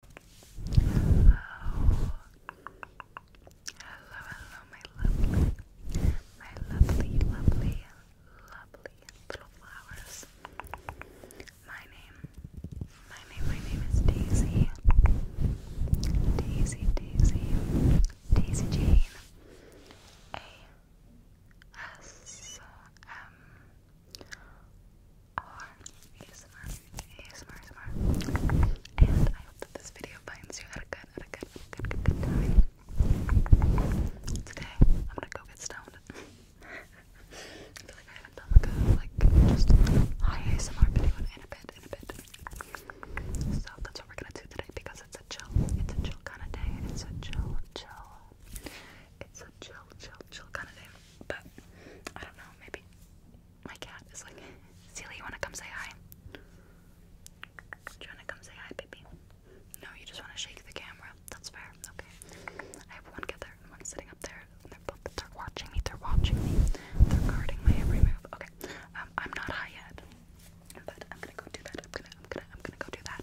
Hello. Hello, hello, my lovely, my lovely, lovely, lovely little flowers. My name, my name, my name is Daisy. Daisy, Daisy, Daisy Jane. A S M ASMR, ASMR, ASMR. And I hope that this video finds you at a good, at a good, at a good, good, time. Today, I'm gonna go get stoned. I feel like I haven't done like a, like, just ASMR video in a bit, in a bit. So that's what we're gonna do today because it's a chill, it's a chill kind of day. It's a chill, chill. It's a chill, chill, chill kind of day. But I don't know, maybe my cat is like, Celia, you wanna come say hi? you wanna come say hi, baby? No, you just wanna shake the camera. That's fair. Okay. I have one cat there one sitting up there. And they're both they watching me, they're watching me. They're guarding my every move. Okay. Um, I'm not high yet. But I'm gonna go do that. I'm gonna I'm gonna I'm gonna go do that.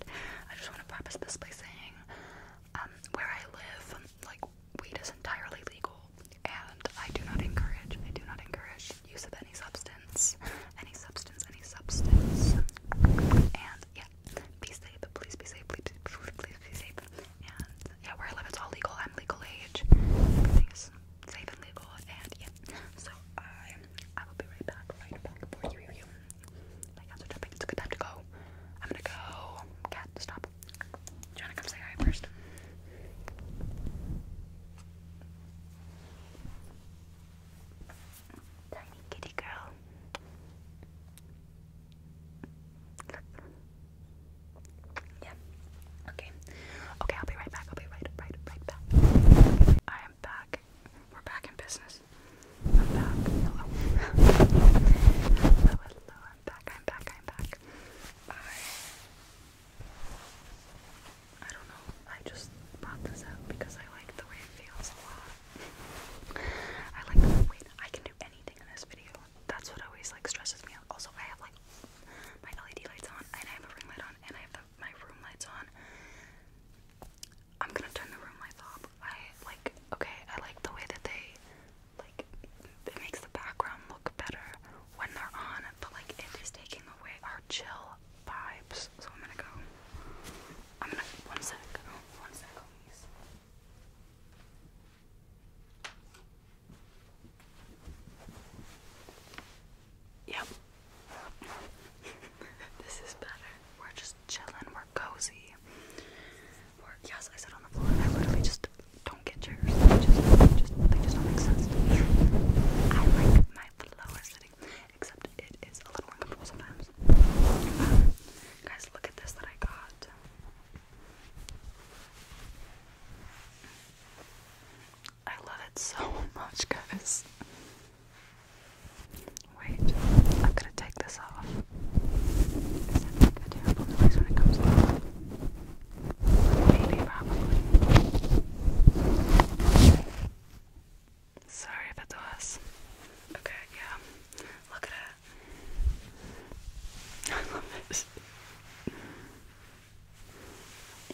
I just wanna preface this by saying um, where I live, like weed is entirely legal and I do not encourage I do not encourage use of any substance any substance any substance and yeah be safe please be safe please be safe and yeah where I live it's all legal I'm legal age everything safe and legal and yeah so I I will be right back right back for you you my cats are jumping it's a good time to go I'm gonna go cat stop do to come say hi first? Tiny kitty girl. Look. Yeah. Okay. Okay, I'll be right back. I'll be right, right, right back. I am back. We're back in business. I'm back. Hello. hello, hello, I'm back, I'm back, I'm back. I I don't know. I just brought this up because I like the way it feels a lot. I like the wait, I can do anything in this video. That's what always like stresses me out. Also I have like my LED lights on and I have a ring light on and I have my room lights on. I'm gonna turn the room lights off. I like okay, I like the way that they like it makes the background look better when they're on, but like it is taking away our chill vibes. So I'm gonna go. I'm gonna one sec. One sec, please. Yep. this is better. We're just just chilling, we're cozy. yes, I sit on the floor I literally just don't get chairs. They just, don't make sense I like my flower sitting, except it is a little uncomfortable sometimes. Um, guys, look at this that I got. I love it so much, guys. Wait, I'm gonna take this off. Is that like a terrible noise when it comes off? Maybe, probably. Sorry if it Okay, yeah. Look at it. I love it.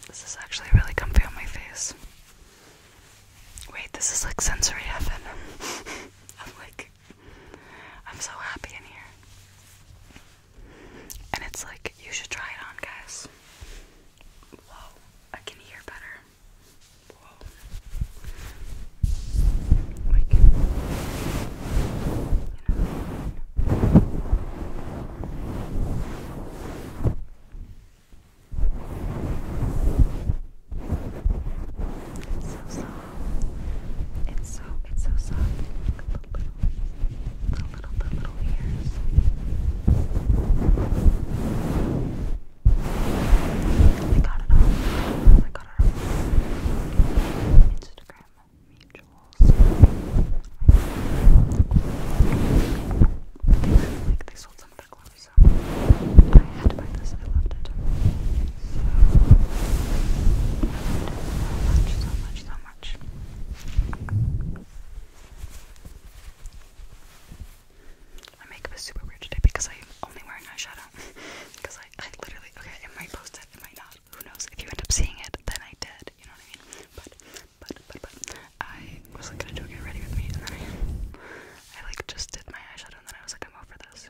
This is actually really comfy on my face. Wait, this is like sensory heaven. I'm like I'm so happy in here. And it's like, you should try it on, guys. Whoa, I can hear better. Whoa. It's so soft. It's so it's so soft. The little the little the little ears. I got it off. I got it off. Instagram mutuals. I like they sold some of so I had to buy this. I loved it. So so much, so much, so much. My makeup is super weird today because I'm only wearing eyeshadow. because I, I literally, okay, it might post it, it not. Who knows? If you end up seeing it, then I did. You know what I mean? But, but, but, but, I was like, gonna do it, get ready with me, and I, I like just did my eyeshadow, and then I was like, I'm over this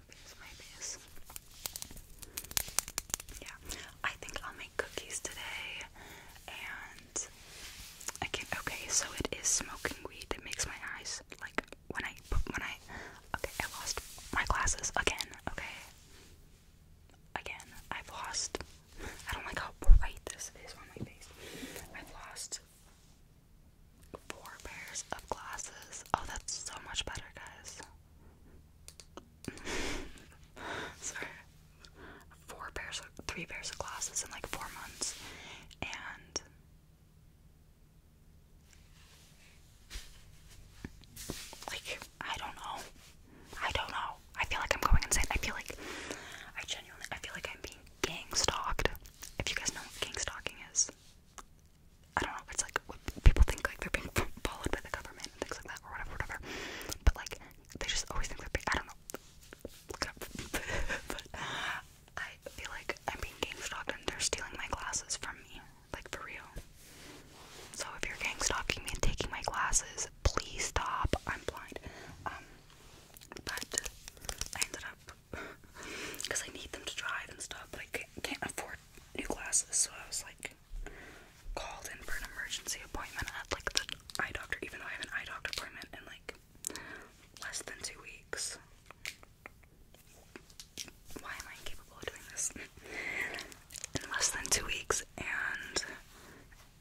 my base, Yeah, I think I'll make cookies today, and I can. Okay, so it is smoking weed that makes my eyes like when I when I. Okay, I lost my glasses again. Okay, again, I've lost. I don't like how bright this is on my face. I've lost four pairs of glasses. Oh, that's so much better, guys. sorry, four pairs of three pairs of glasses in like four months, and like I don't know, I don't know. I feel like I'm going insane. I feel like I genuinely, I feel like I'm being gang stalked. If you guys know what gang stalking is, I don't know if it's like what people think like they're being followed by the government and things like that or whatever, whatever. But like they just always think they're being, I don't know. Look it up. but I feel like I'm being gang and they're stealing my glasses from me, like for real. So if you're gang stalking me and taking my glasses, please stop. I'm blind. Um, but I ended up because I need them to drive and stuff, but I can't afford new glasses, so I was like, called in for an emergency appointment at like the eye doctor, even though I have an eye doctor appointment in like less than two weeks. Why am I incapable of doing this? in less than two weeks, and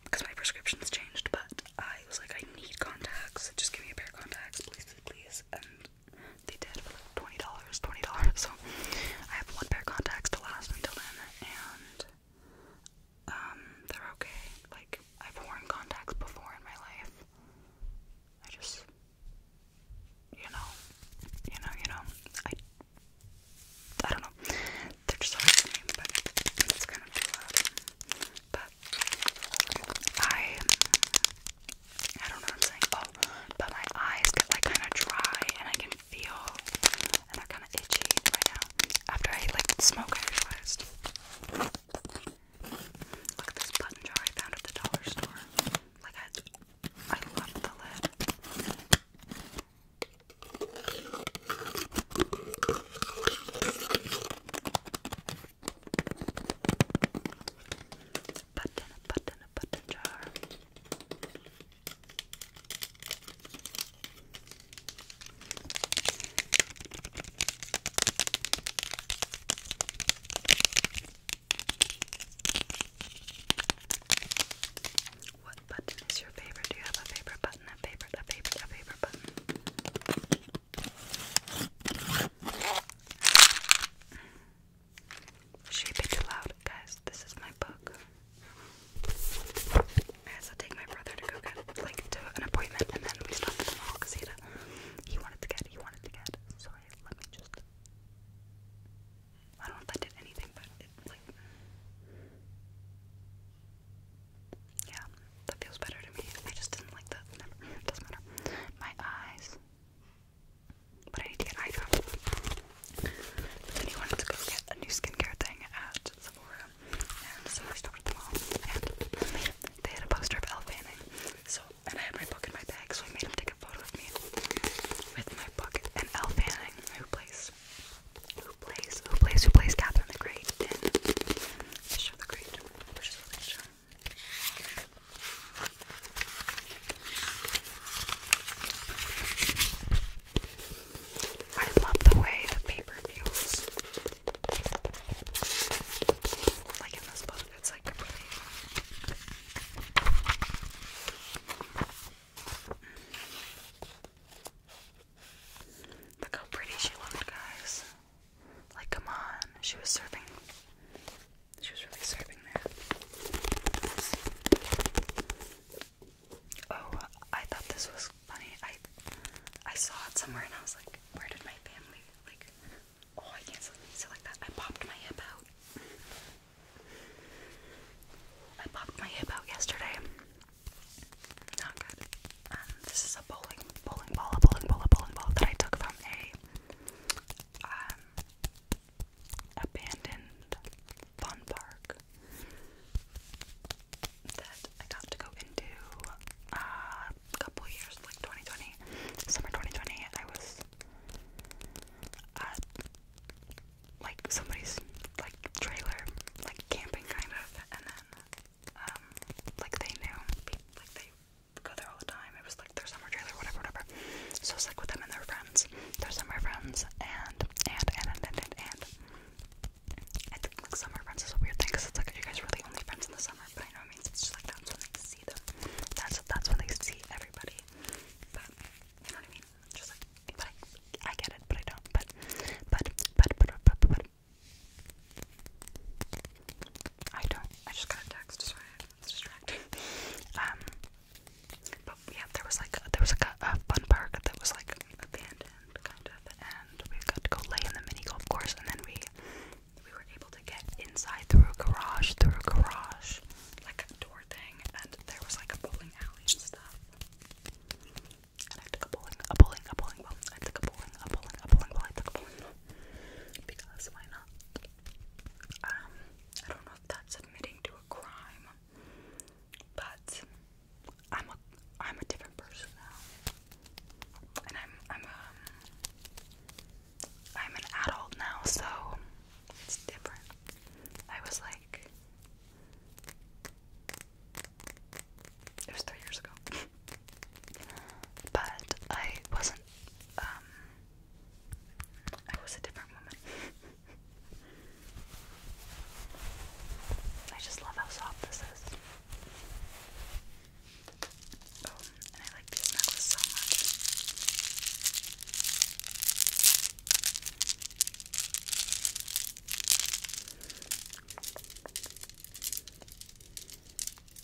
because my prescription's changed, but I was like, I need contacts. Just give me a pair of contacts, please, please. And they did twenty dollars, twenty dollars. So I have one pair of contacts to last until then, and um, they're okay. Like I've worn contacts before in my life. I just, you know, you know, you know, I, I don't know. They're just hard to name, but it's kind of But I I don't know what I'm saying. Oh, but my eyes get like kind of dry, and I can feel, and they're kind of itchy right now. After I like smoke, I realized. Look at this button jar I found at the dollar store. Like I, I love the lid. What button is your favorite? Do you have a favorite button? A favorite, a favorite, a favorite button? Shape it loud, guys. This is my book. I had take my brother to go get like to an appointment, and then we stopped at the mall because he, wanted to get, he wanted to get. Sorry, let me just. I don't know if that did anything, but it like. Yeah, that feels better to me. I just didn't like that. doesn't matter. My eyes. But I need to get eye drops. then he wanted to go get a new skincare thing at Sephora. And so I stopped at the mall. they had a poster of Elle So, and I had my book in my bag, so I made him take a photo of me with my book. And Elle who plays, who plays, who plays, who plays Catherine the Great in The Great, which is really show. I love the way the paper feels. Like in this book, it's like Look how pretty she looked, guys. Like, come on. She was serving she was really serving that. Oh, I thought this was funny. I I saw it somewhere and I was like, where did my family like? Oh, I can't say like that. I popped my hip out. I popped my hip out yesterday. Not good. this is a bowling, bowling ball, a bowling ball, a bowling ball that I took from a um, abandoned fun park that I got to go into uh, a couple years, like 2020, summer 2020. I was at uh, like somebody's like trailer, like camping kind of, and then um, like they knew, like they go there all the time. It was like their summer trailer, whatever, whatever. So I was like with them and their friends. Their summer friends and and and and and and, and. I think like summer friends is a weird thing because it's like you guys are really only friends in the summer, but I know it means it's just like that's when they see them. That's that's when they see everybody. But you know what I mean? Just like but I, I get it, but I don't. But but but but but but, but I don't. I just got a text, sorry. It's Um, but yeah, there was like a, there was a, fun park that was like abandoned, kind of, and we got to go lay in the mini golf course, and then we we were able to get inside through a garage, through a garage, like a door thing, and there was like a bowling alley and stuff. And I took a bowling, a bowling, a bowling I took a bowling, a bowling, a bowling I took a bowling because why not? Um, I don't know if that's admitting to a crime, but I'm a I'm a different person now, and I'm I'm um I'm an adult now, so it's different. I was like, it was three years ago, but I wasn't um I was a different woman. I just love how soft this is. Oh, and I like this necklace so much.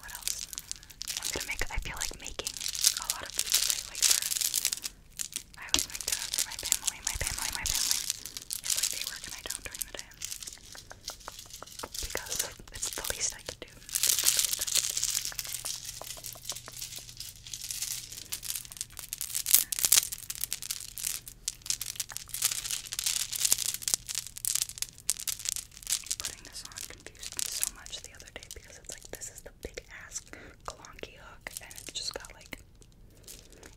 what else. I'm gonna make. I feel like making a lot of food today. Like for, I always make dinner for my family. My family. My family. It's like they work and I don't during the day because it's the least I can do. Putting this on confused me so much the other day because it's like this is the big ass clonky hook and it's just got like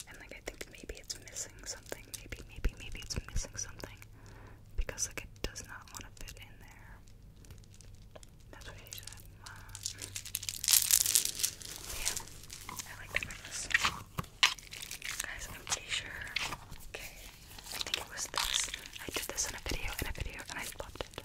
and like I think maybe it's missing something. Maybe maybe maybe it's missing something because like it does not want to fit in there. That's what she said. Uh, yeah, I like the necklace. Guys, I'm pretty sure. Okay, I think it was this. I did this in a video, in a video, and I loved it.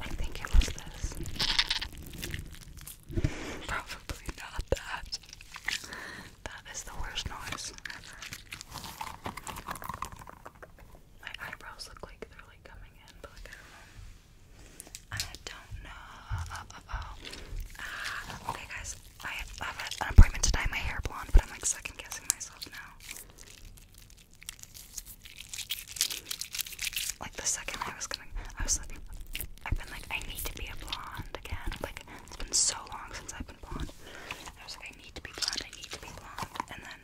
I think it was this. Probably not that. That is the worst noise My eyebrows look like they're like coming in, but like I don't know. Ah, okay, guys. I have an appointment to my hair blonde, but I'm like second guessing myself now. Like the second I was gonna, I was like, I've been like, I need to be a blonde again. Like it's been so long since I've been I was like, I need to be blonde, I need to be blonde. And then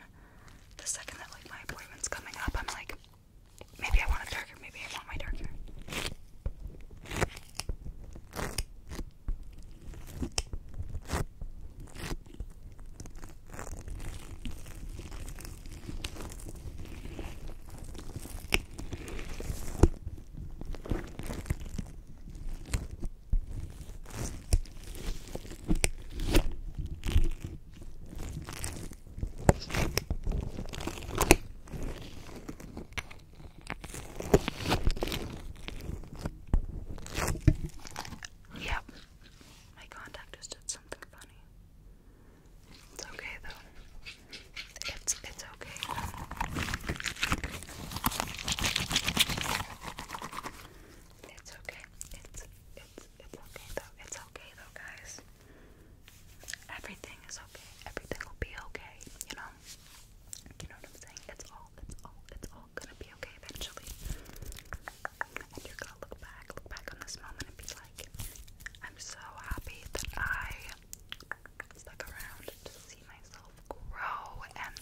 the second that like my appointment's coming up, I'm like, maybe I want it darker, maybe I want my dark Yep, my contact just did something funny. It's okay though. It's it's okay. It's okay. It's it's it's okay though. It's okay though, guys. Everything is okay. Everything will be okay. You know. You know what I'm saying? It's all. It's all. It's all gonna be okay eventually. And you're gonna look back, look back on this moment, and be like, "I'm so happy that I stuck around to see myself grow and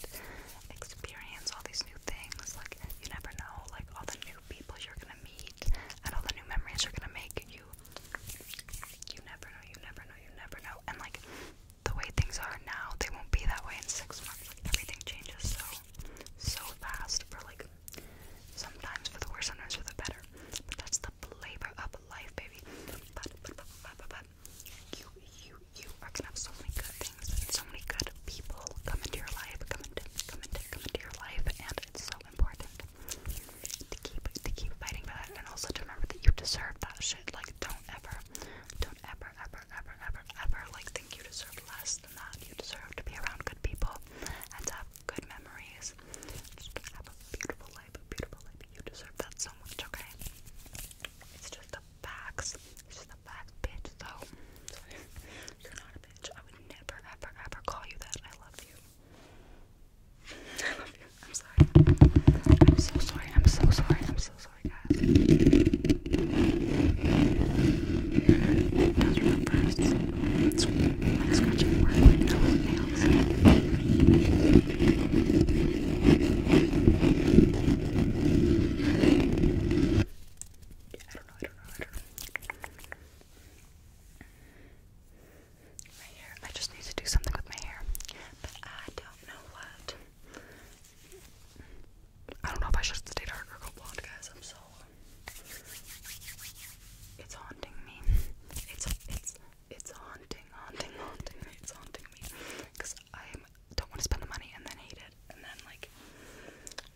experience all these new things. Like, you never know, like, all the new people you're gonna meet and all the new memories you're gonna make. You, you never know, you never know, you never know. And, like, the way things are now, they won't be that way in six months. Like, everything changes so, so fast for, like, sometimes for the worse, sometimes for the better. But that's the flavor of life, baby. But, but, but, but, but, but you, you, you are gonna have so many good things and so many good people come into your life, come into, come into, come into your life, and it's so important to keep, to keep fighting for that, and also to remember that you deserve that shit. Like, don't ever, don't ever, ever, ever, ever, ever, like think you deserve less than that. You deserve to be around good people and to have good memories. Just have a beautiful life, a beautiful life. You deserve that so much, okay? It's just the facts. It's just the facts, bitch. Though, You're not a bitch. I would never, ever, ever call you that. I love you. I love you. I'm sorry. I'm so sorry. I'm so sorry. I'm so sorry, guys. Those are the first. Like scratching work with no I don't know, just need to do something with my hair. But I don't know what. I don't know if I should stay dark or go blonde, guys. I'm so. It's haunting me. It's, it's, it's haunting, haunting, haunting It's haunting me because I don't want to spend the money and then hate it and then like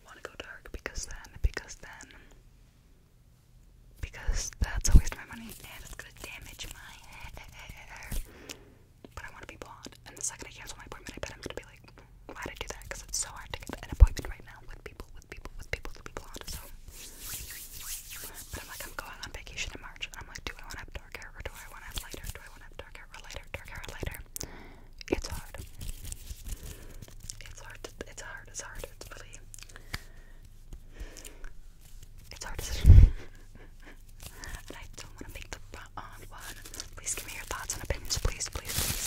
want to go dark because then because then because that's a waste of my money and it's gonna damage my hair. But I want to be blonde. And the second I cancel my appointment, I bet I'm gonna be like, why did I do that? Because it's so hard to get an appointment right now with people, with people, with people to be blonde. So but I'm like, I'm going on vacation in March. And I'm like, do I want to have dark hair or do I want to have lighter? Do I want to have dark hair or lighter? Dark hair or lighter? It's hard. It's hard. To, it's hard. It's hard. It's really. It's hard decision. and I don't want to make the wrong one. Please give me your thoughts and opinions. Please, please, please.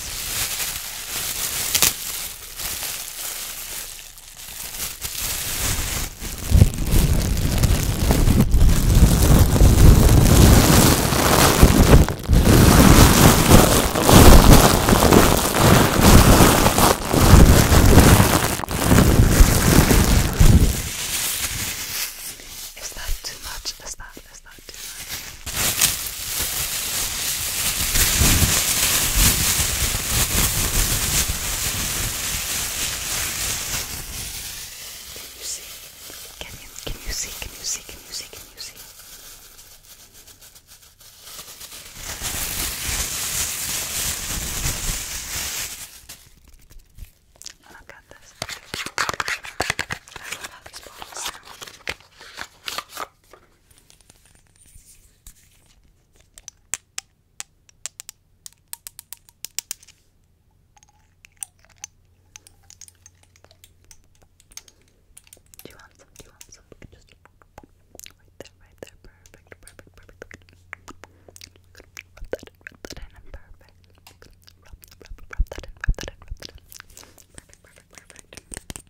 Is that too much? Is that is that too much? Can you see? Can you can you see? Can you see? Can you see? Can you see? Look at this. I love how these bottles sound. Do you want some? Do you want some? Just right there, right there. Perfect, perfect, perfect. Rub that in, rub that in, and perfect. Rub, rub, rub that in, rub that in, rub that in. Perfect, perfect, perfect.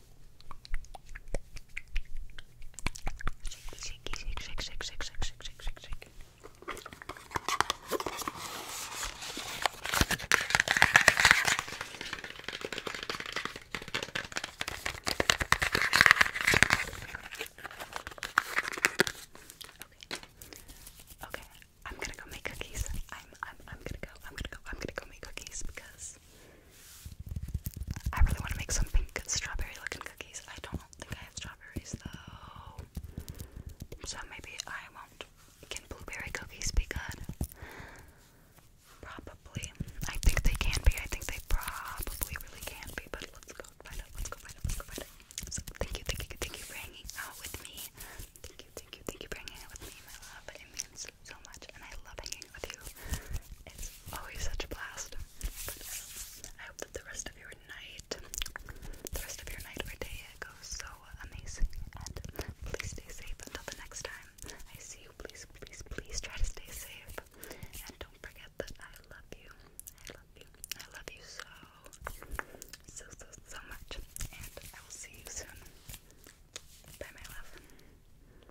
Okay. Okay. I'm gonna go make cookies. I'm I'm I'm gonna go. I'm gonna go. I'm gonna go make cookies because I really want to make some pink strawberry looking cookies. I don't think I have strawberries though. So maybe I won't. Can blueberry cookies be good? Probably. I think they can be. I think they probably really can be, but let's go find out. Let's go find out. Let's go find out. So thank you, thank you, thank you for hanging out with me. Thank you, thank you, thank you for hanging out with me, my love. Immensely, so much and I love hanging with you. It's always such a blast. Um, I hope that the rest of your night, the rest of your night or day goes so amazing. And please stay safe until the next time I see you. Please, please, please try to stay safe. And don't forget that I love you. I love you. I love you so, so, so, so much. And I will see you soon. Bye, my love.